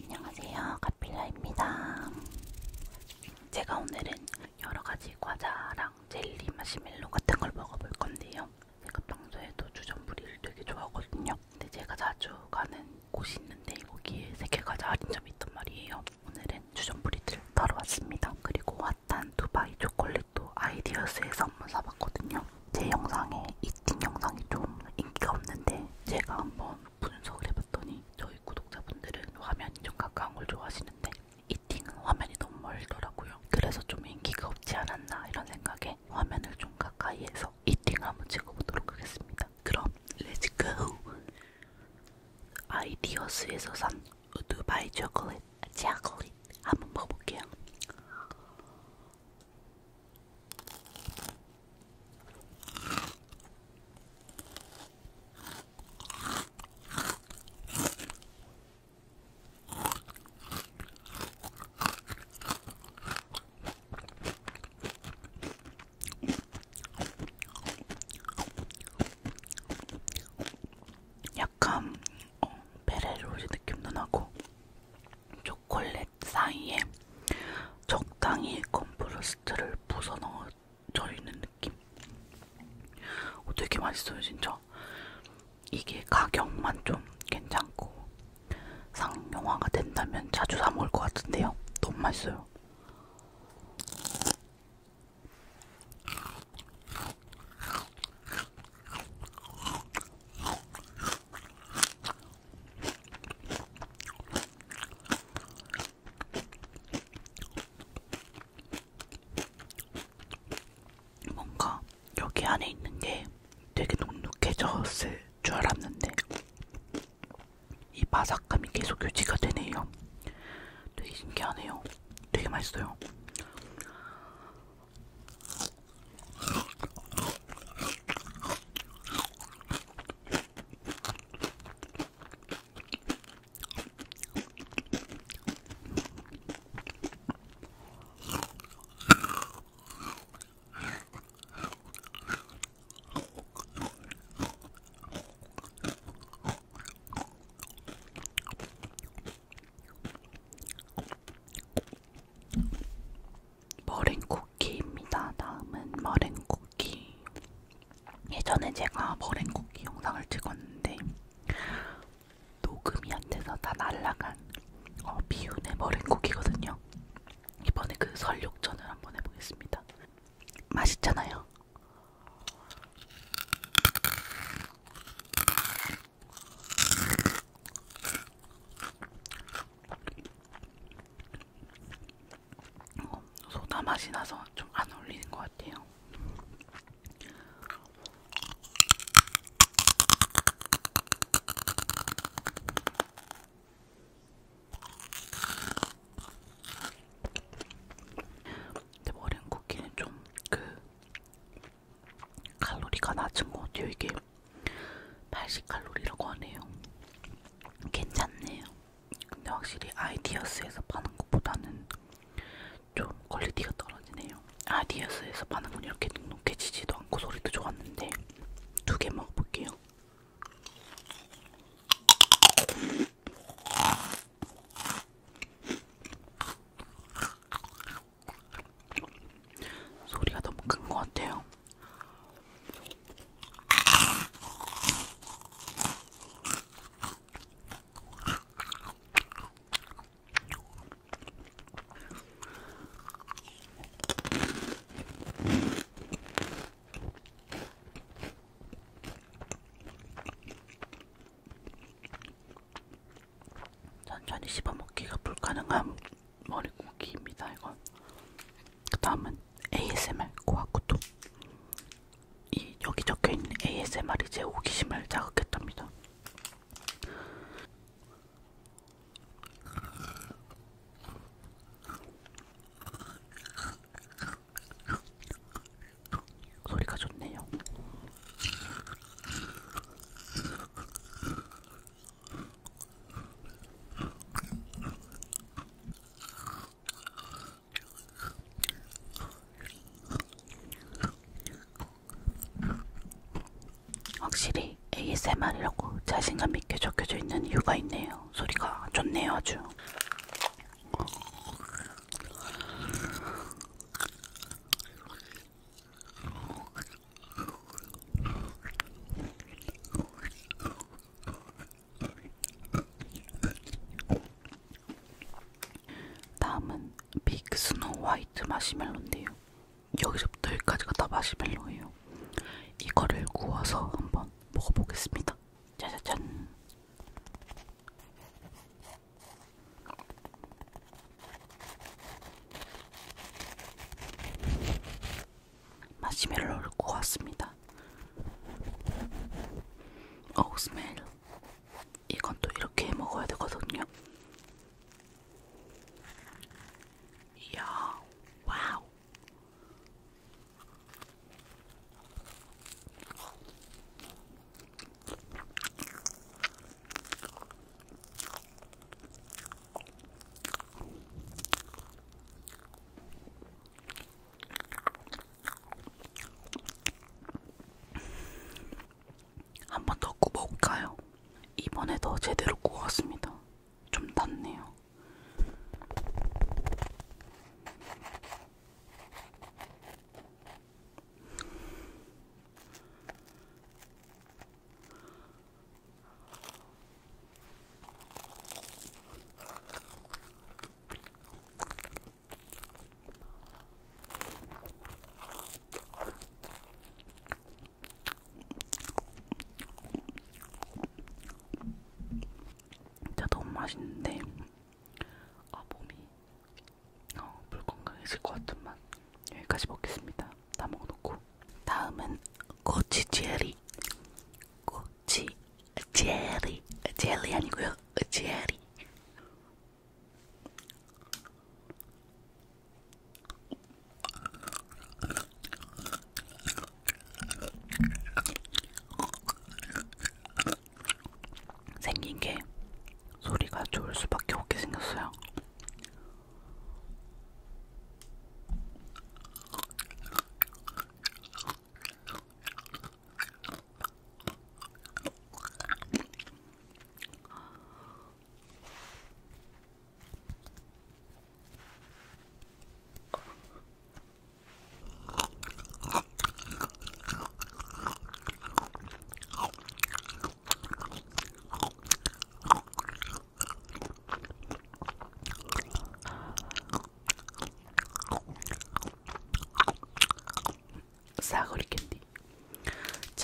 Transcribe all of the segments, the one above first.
안녕하세요. 카필라입니다. 제가 오늘은 여러가지 과자랑 젤리, 마시멜로 같은 걸 먹어볼 건데요. 제가 평소에도 주전부리를 되게 좋아하거든요. 근데 제가 자주 가는 곳이 있는데 거기에 세계 과자 할인점이 있단 말이에요. 오늘은 주전부리들 따러 왔습니다. 그리고 핫 바탄 두바이 초콜릿도 아이디어스에서 한번 사봤거든요. 제 영상에 이틴 영상이 좀 인기가 없는데 제가 한번 분석을 해봤더니 저희 구독자분들은 화면이 좀 가까운 걸 좋아하시는데 이팅은 화면이 너무 멀더라고요. 그래서 좀 인기가 없지 않았나 이런 생각에 화면을 좀 가까이에서 이팅을 한번 찍어보도록 하겠습니다. 그럼 렛츠고! 아이디어스에서 산 두바이 초콜릿, 초콜릿 한번 먹어볼게요. 약간 어, 베레로즈 느낌도 나고 초콜릿 사이에 적당히 건프로스트를 부숴 넣어져 있는 느낌 어, 되게 맛있어요 진짜 이게 가격만 좀 괜찮고 상용화가 된다면 자주 사 먹을 것 같은데요 너무 맛있어요 뭔가 여기 안에 있는 게 되게 눅눅해졌을 줄 알았는데 이 바삭함이 계속 유지가 되네요. 되게 신기하네요. 되게 맛있어요. 머랭쿠키입니다. 다음은 머랭쿠키. 예전에 제가 머랭쿠키 영상을 찍었는데 녹음이 안 돼서 다 날라간 어, 비운의 머랭쿠키거든요. 이번에 그 설육전을 한번 해보겠습니다. 맛있잖아요. 소다 맛이 나서 좀 안 어울리는 것 같아요. 근데 머랭 쿠키는 좀 그 칼로리가 낮은 것 같아요. 이게 80칼로리라고 하네요. 괜찮네요. 근데 확실히 아이디어스에서 파는 것보다는 좀 퀄리티가 떨어지네요. 아이디어스에서 파는 건 이렇게 눅눅해지지도 않고 소리도 좋았는데 두 개 먹어볼게요. 소리가 너무 큰 것 같아요. 천천히 씹어먹기가 불가능한 머리고기입니다. 이건 그 다음은 ASMR 고아쿠토 이 여기 적혀있는 ASMR이 제 호기심을 자극했답니다. 소리가 좋네요. 확실히 ASMR이라고 자신감 있게 적혀져 있는 이유가 있네요. 소리가 좋네요, 아주. 다음은 빅 스노우 화이트 마시멜로인데요. 여기서부터 여기까지가 다 마시멜로예요. 이거를 구워서 한번 먹어보겠습니다. 짜자잔. 마시멜로를 구웠습니다. 어우 스멜. 이건 또 이렇게 해 먹어야 되거든요. 이야, 와우. 한번더 구워볼까요? 이번에도 제대로 구웠습니다. 좀 낫네요. 진짜 너무 맛있는데 어, 몸이 어, 불건강해질 것 같은 맛 여기까지 먹겠습니다. 다 먹어놓고 다음은 고치제리 고치 제리 젤리 아니고요 제리 생긴 게 소리가 좋을 수밖에 없게 생겼어요. 싸구리 캔디.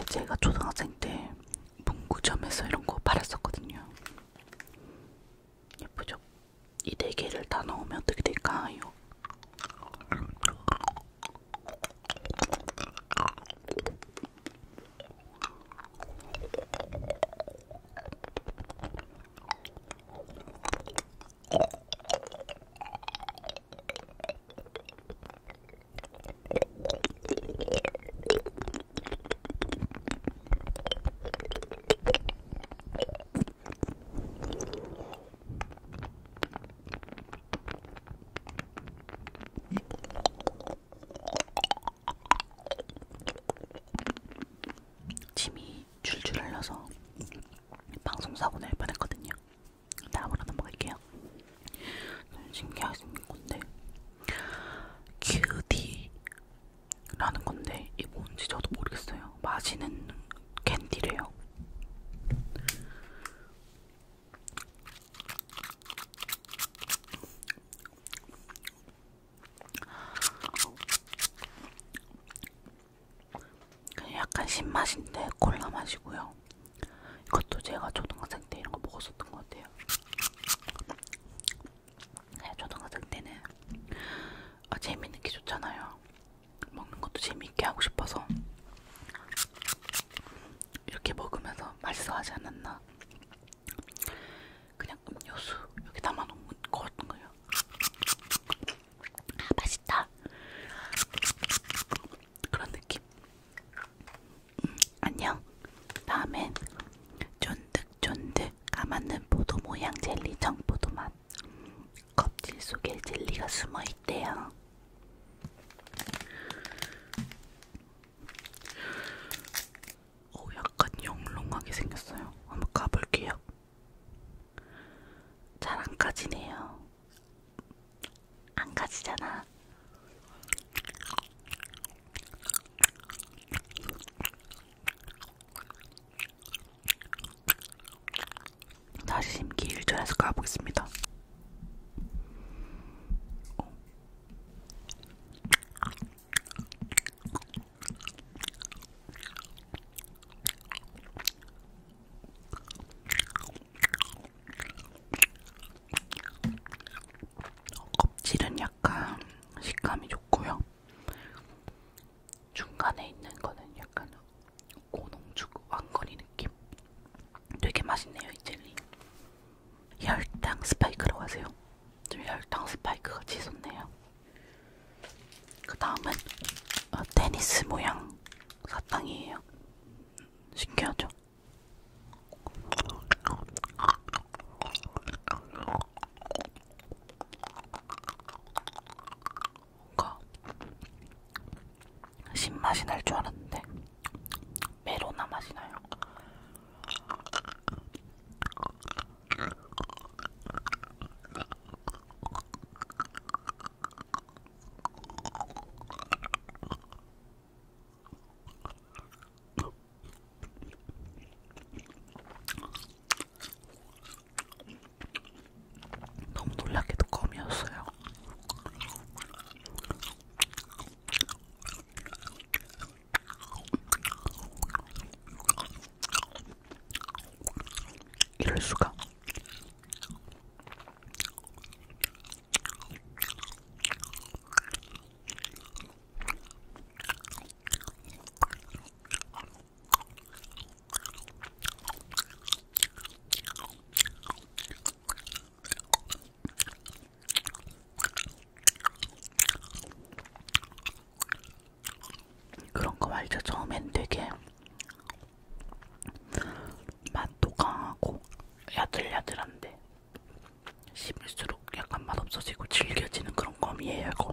제가 초등학생 때 문구점에서 이런 거 팔았었거든요. 예쁘죠? 이네 개를 다 넣으면 어떻게 될까요? 침이 줄줄 흘러서 방송사고 날 뻔했거든요. 다음으로 넘어갈게요. 신기하게 생긴 건데 큐디라는 건데 이게 뭔지 저도 모르겠어요. 마시는 캔디래요. 그냥 약간 신맛인데 콜라 맛이고요. 이것도 제가 초등학생 때 이런 거 먹었었던 것 같아요. 네, 초등학생 때는 아, 재밌는 게 좋잖아요. 먹는 것도 재미있게 하고 싶어서 이렇게 먹으면서 맛있어 하지 않았나 그냥 음료수 여기 담아놓은 거였던 거예요 아 맛있다 그런 느낌 음, 안녕 다음엔 쫀득쫀득 까만눈 포도 모양 젤리 청포도 맛 껍질 속에 젤리가 숨어 있대요. 오, 약간 영롱하게 생겼어요. 한번 가볼게요. 잘 안 까지네요. 안 까지잖아. 다시 심기 1절에서 가보겠습니다. 어, 껍질은 약간 식감이 좋고요. 중간에 있는 거는 약간 고농축 왕건이 느낌. 되게 맛있네요 이 젤리. 혈당 스파이크라고 하세요. 좀 혈당 스파이크가 치솟네요. 그 다음은 어, 테니스 모양 사탕이에요. 신기하죠? 뭔가 신맛이 날 줄 알았는데 메로나 맛이 나요. 너무 놀랍게도 껌이었어요. 이럴 수가. 그런 거 말죠. 처음엔 되게 맛도 강하고 야들야들한데 씹을수록 약간 맛없어지고 질겨지는 그런 껌이에요. 이거.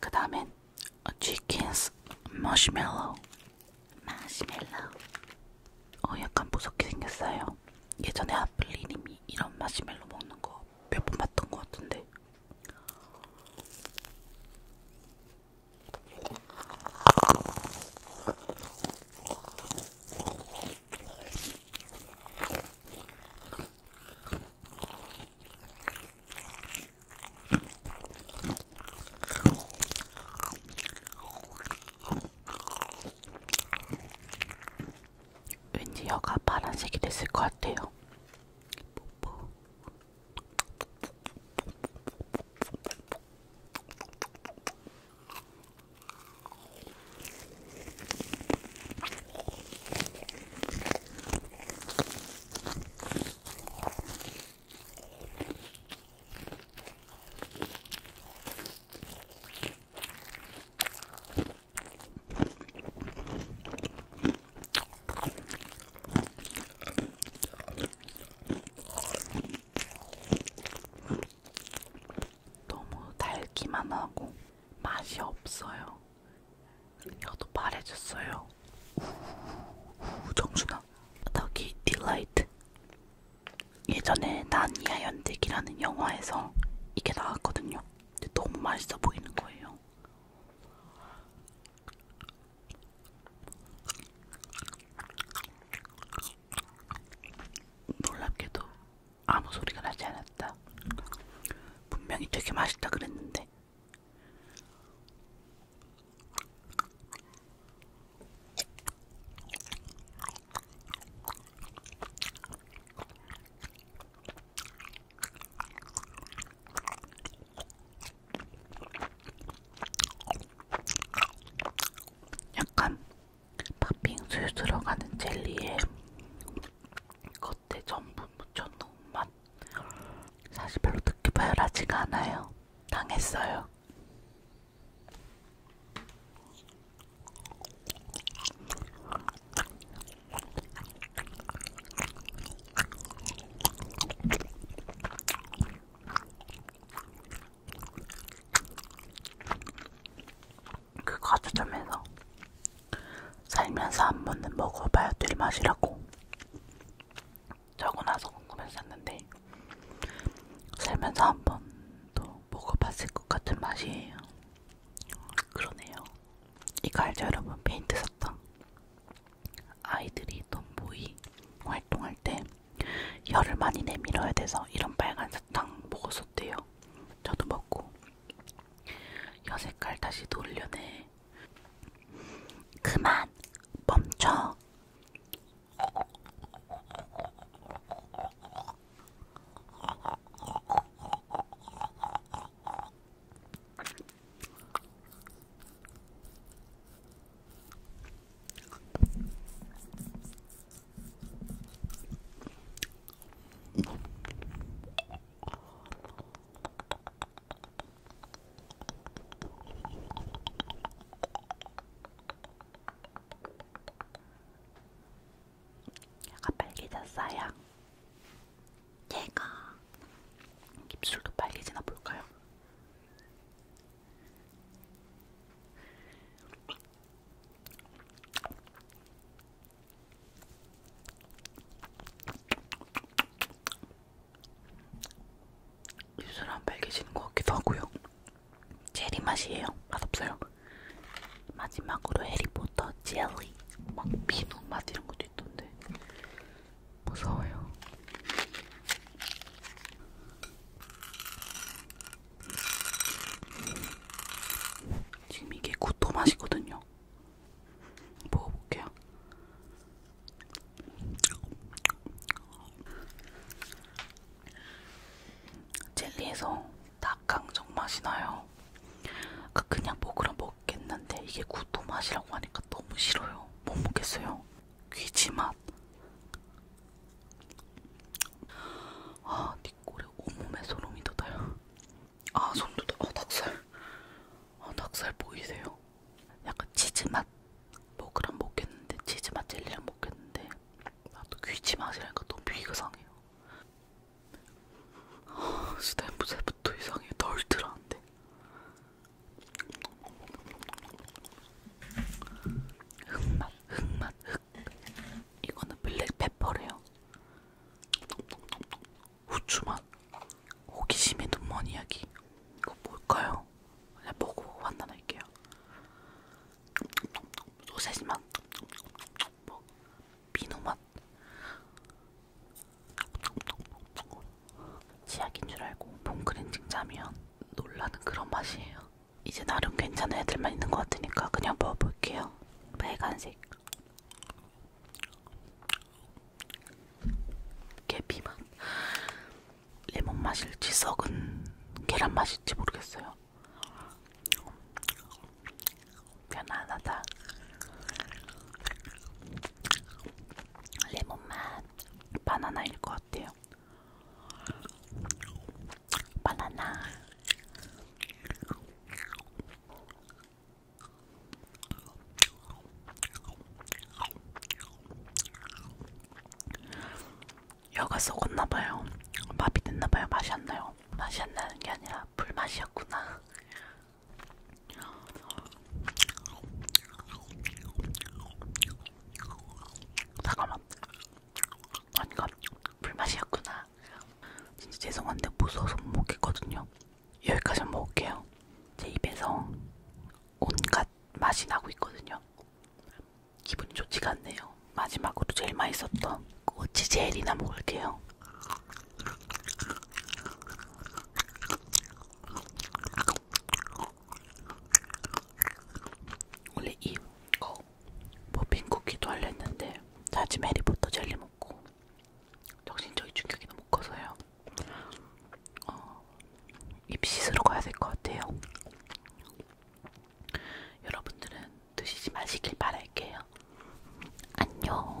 그 다음엔 치킨스 마시멜로우 마시멜로우 어 약간 무섭게 생겼어요 예전에 아플리님이 이런 마시멜로 먹는 거 몇 번 봤던 것 같은데 왠지 혀가 파란색이 됐을 것 같아요. 너무 달기만 하고 맛이 없어요. 여도 말해줬어요. 우우 정준아. 더기 딜라이트. 예전에 난이아 연대기라는 영화에서 이게 나왔거든요. 근데 너무 맛있어 보이는 거예요. 놀랍게도 아무 소리가 나지 않았다. 분명히 되게 맛있다 그랬는데. 약간 팥빙수에 들어가는 젤리에 겉에 전분 묻혀놓은 맛 사실 별로 듣기 바열하지가 않아요 당했어요 그 과자점에서 살면서 한 번은 먹어봐야 될 맛이라고 적어놔서 궁금했었는데 살면서 한 번도 먹어봤을 것 같은 맛이에요. 그러네요. 이거 알죠 여러분? 페인트 사탕. 아이들이 덤보이 활동할 때 혀를 많이 내밀어야 돼서 이런 빨간 사탕 먹었었대요. 저도 먹고 여색깔 다시 돌려내 그만 멈춰 약간 빨개졌어요. 얘가 입술도 빨개지나 볼까요? 입술 안 빨개지는 것 같기도 하고요. 젤리 맛이에요. 맛없어요. 마지막으로 해리포터 젤리 막 비누 맛 이런 것도 있던데 무서워요. 지금 이게 구토 맛이거든요. 먹어볼게요. 젤리에서 닭강정 맛이 나요. 아까 그 그냥 먹으라 먹겠는데 이게 구토 맛이라고 하니까 너무 싫어요. 못 먹겠어요. 귀지 맛. 아, 니꼬 그리고 온몸에 소름이 돋아요. 아, 소름 돋아. 아, 닭살. 아, 닭살 보이세요? 약간 치즈맛. 뭐 그럼 먹겠는데 치즈맛 젤리랑 먹겠는데 나도 귀지 맛이라니까 너무 비상해요. 아, 스탬프제부터 이상해. 덜들한데 흑맛, 흑맛, 흑맛. 이거는 블랙페퍼래요. 후추맛. 호기심의 눈먼 이야기. 이거 뭘까요? 그냥 먹어보고 판단할게요. 소세지맛. 뭐, 비누맛. 치약인 줄 알고 봉크렌징 짜면 놀라는 그런 맛이에요. 이제 나름 괜찮은 애들만 있는 것 같으니까 그냥 먹어볼게요. 빨간색. 계피맛. 레몬 맛일지 썩은 계란 맛일지 모르겠어요. 편안하다. 레몬맛 바나나일 것 같아요. 바나나 여가 썩었나봐요. 밥이 됐나봐요. 맛이 안 나요. 맛이 안 나는 게 아니라 불맛이었구나. 잠깐만. 아닌가? 불맛이었구나. 진짜 죄송한데 무서워서 못 먹겠거든요. 여기까지 먹을게요. 제 입에서 온갖 맛이 나고 있거든요. 기분이 좋지가 않네요. 마지막으로 제일 맛있었던 꼬치 젤이나 먹을게요. 원래 이거 머핀쿠키도 뭐 할려 했는데 다짐 해리포터 젤리 먹고 정신적인 충격이 너무 커서요 어, 입 씻으러 가야 될 것 같아요 여러분들은 드시지 마시길 바랄게요 안녕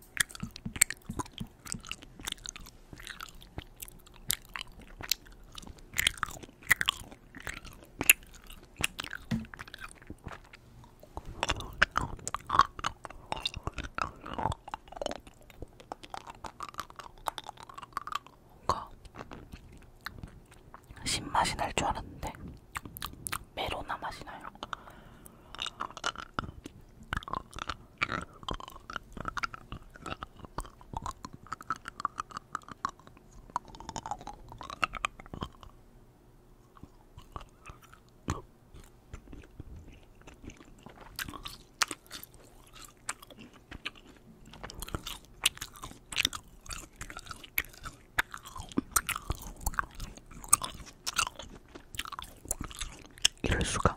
뭔가 신맛이 날 줄 알았는데 메로나 맛이 나요. 이럴 수가.